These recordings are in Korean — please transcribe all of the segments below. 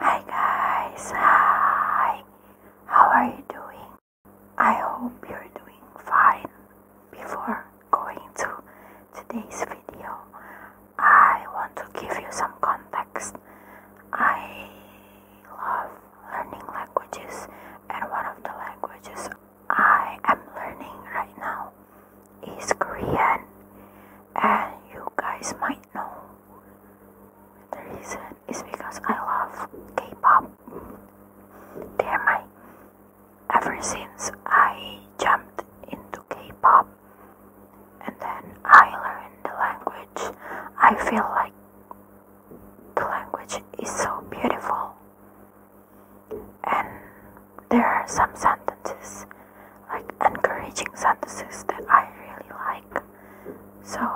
Hi guys, hi! How are you doing? I hope you're doing fine. Before going to today's video, I want to give you some context. I love learning languages, and one of the languages I am learning right now is Korean, and you guys might know the reason is because I love K-pop. They're my ever since I jumped into K-pop and then I learned the language. I feel like the language is so beautiful. And there are some sentences like encouraging sentences that I really like. So,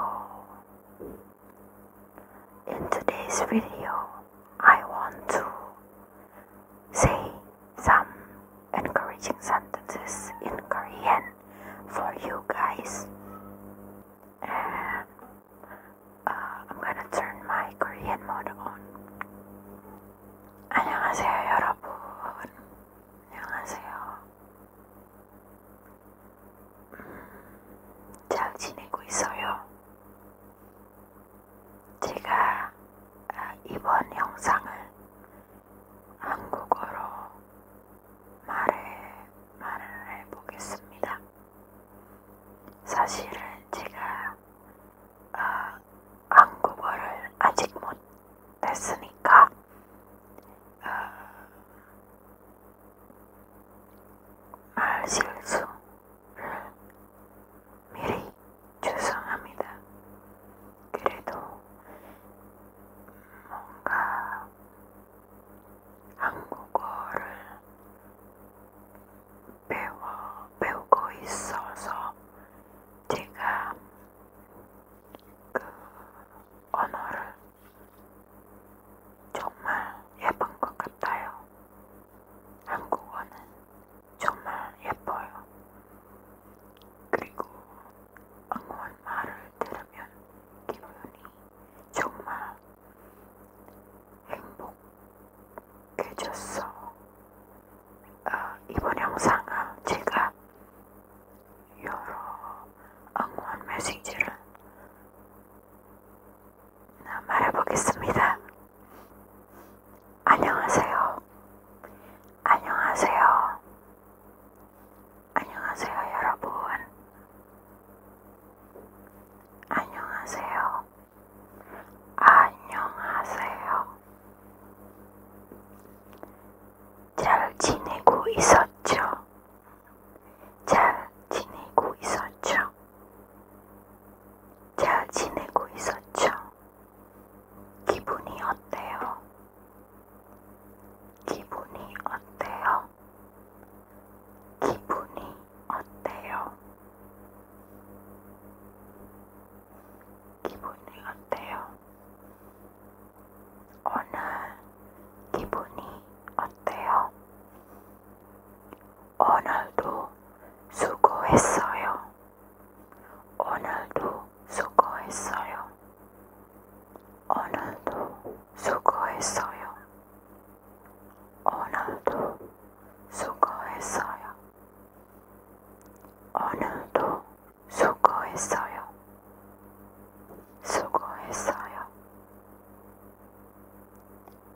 in today's video, I want to say some encouraging sentences in Korean for you guys. And uh, I'm gonna turn my Korean mode on. 안녕하세요, 여러분. 안녕하세요. 음, 잘 지내고 있어요. 제가 아, 이번 영상을 한국어로 말을, 말을 해보겠습니다. 사실은 제가 어, 한국어를 아직 못했으니까 어, 말 실수를 미리 죄송합니다. 그래도 뭔가 한국어를 배워 배우고 있어서 제가 그 언어를 정말 예쁜 것 같아요. 한국어는 정말 예뻐요. 그리고 응원 말을 들으면 기분이 정말 행복, 해줬어. 어, 이번 영상은 제가 여러 응원 메시지를 말해보겠습니다. 안녕하세요. 안녕하세요. 안녕하세요, 여러분. 안녕하세요. 안녕하세요. 잘 지내고 있었죠? 잘 지내고 있었죠? 잘 지내고 있었죠? 기분이 어때요? 기분이 어때요? 기분이 어때요? 기분이 어때요? 오늘 기분이 어때요? 오늘도 수고했어요. 오늘도 수고했어요. 오늘도 수고했어요. 오늘도 수고했어요. 오늘도 수고했어요. 수고했어요.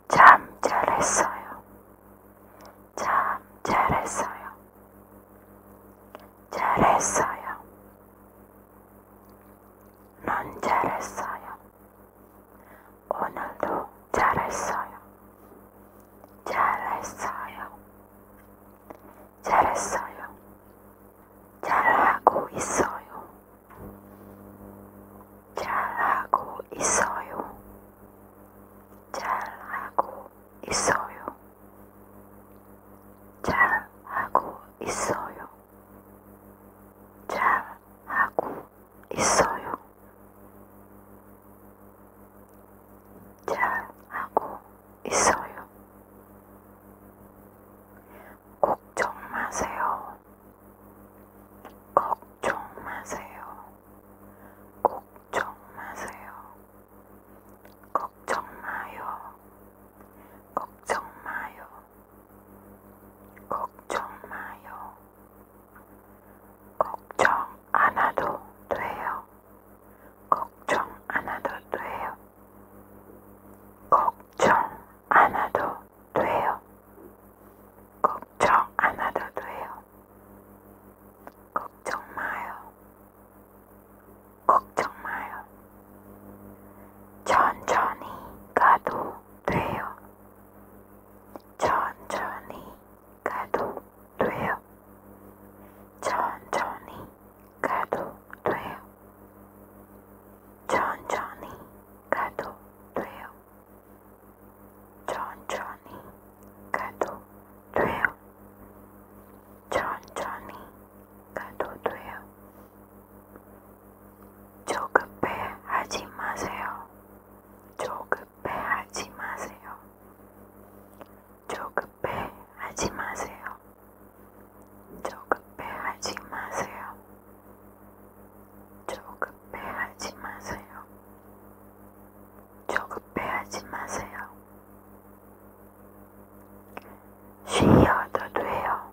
참 잘했어요. 참 잘했어요. 잘했어요. 넌 잘했어요. 오늘도 잘했어요. 잘했어요. 잘했어요. 잘하고 있어요. 잘하고 있어요. 잘하고 있어요. 잘하고 있어요. 잘하고 있어요. 잘 하고 있어요. 걱정 마세요. 걱정 마세요. 걱정 마세요. 걱정 마요. 걱정 마요. 걱정 마요. 걱정 안 해도 돼요. 걱정 안 해도 돼요. 걱정 안 해도 돼요. 걱정 안 해도 돼요. 걱정 마요. 걱정 마요. 천천히 가도 돼요. 천천히 가도 돼요. 천천히 가도 돼요. 천천히 가도 돼요. 천천히 가도 돼요. 천천히 가도 돼요. 천천히 가도 돼요. 조급해 하지 마세요. 조급해 하지 마세요. 조급해 하지 마세요. 조급해 하지 마세요. 조급해 하지 마세요. 조급해 하지 마세요. 쉬어도 돼요.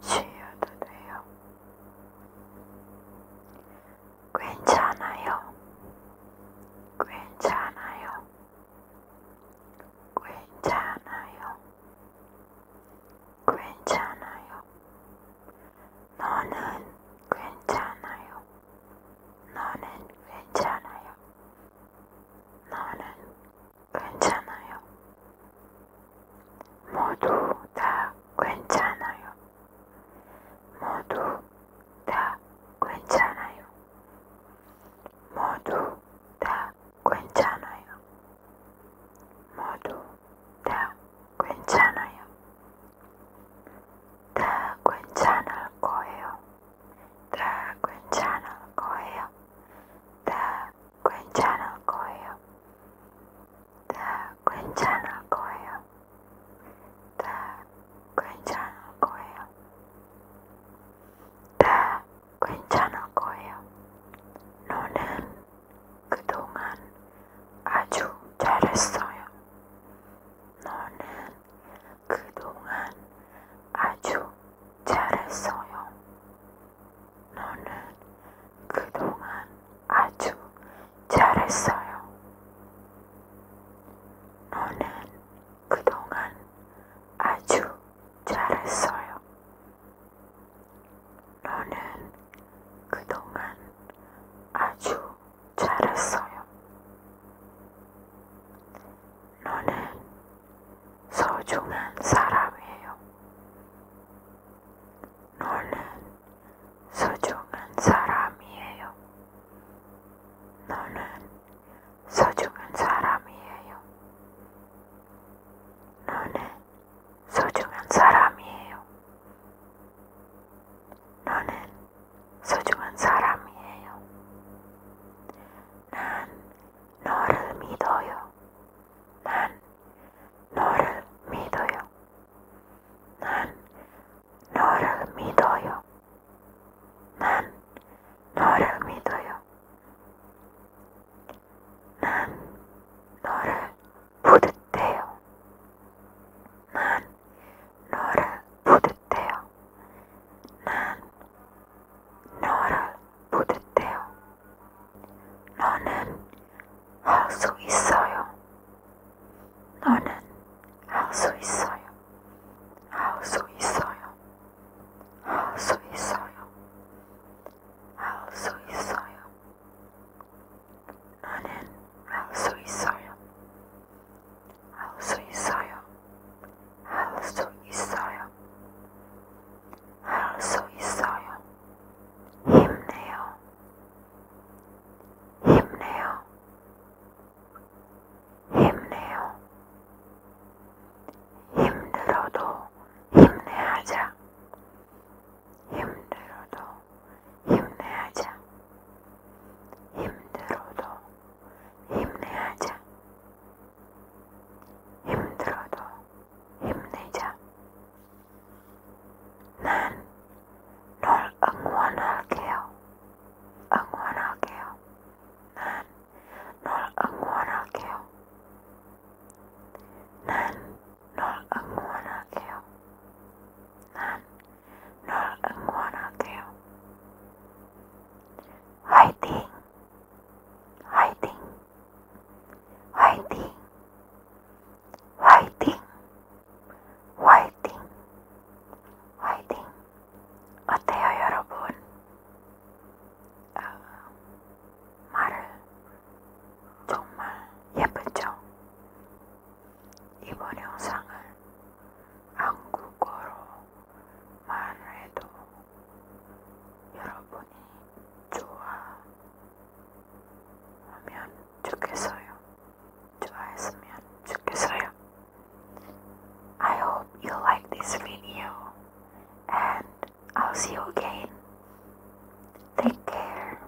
쉬어도 돼요. 괜찮아요. 괜찮아요. 괜찮아요. 괜찮아요. 너는 괜찮아요. 너는 괜찮아요. 너는 괜찮아요. 모두 다 괜찮아요. 모두 다 괜찮아요. 모두 다 괜찮아요. 모두 다 괜찮아요. 다 괜찮을 거예요. 다 괜찮을 거예요. 다 괜찮을 거예요. 다 괜찮을 거예요. 다 괜찮을 거예요. 다 괜찮을 거예요. 너는 그동안 아주 잘했어요. 너는 그동안 아주 잘했어요. 너는 그동안 아주 잘했어요. 너는 그동안 아주 잘했어요. 너는 그동안 아주 잘했어요. 너는 소중한 사람이에요. 너는 소중한 사람이에요. 너는 소중한 사람이에요. 너는 소중한 사람이에요. 너는 소중한 사람이에요. 난 너를 믿어요. 난 너를 믿어요. 난 너를 믿어요. 난 너를 믿어요. 난 너를 부듯해요. 난 너를 부듯해요. 난 너를 부르대요. 너는 할 수 있어요. 너는 할수 있어요. 할수 있어요. 할수 있어요. 할수 있어요. 너는 할수 있어요. 할수 있어요. 할수 있어요. 할 수 있어요. 힘내요. 힘내요. 힘내요. 힘들어도 힘내하자. 힘들어도 힘내하자. 힘들어도 힘내하자. 힘들어도 힘내자. 난 널 응원할게요. 응원할게요. 난널 응원할게요. 난널 응원할게요. 난널 응원할게요. 화이팅! 화이팅! 화이팅! 화이팅! 화이팅! 화이팅! 어때요, 여러분? 어, 말을 정말 예쁘죠? 이번 영상을 한국어로 만회도 여러분이 좋아하면 좋겠어요. 좋아했으면 좋겠어요. I hope you like this video and I'll see you again. Take care.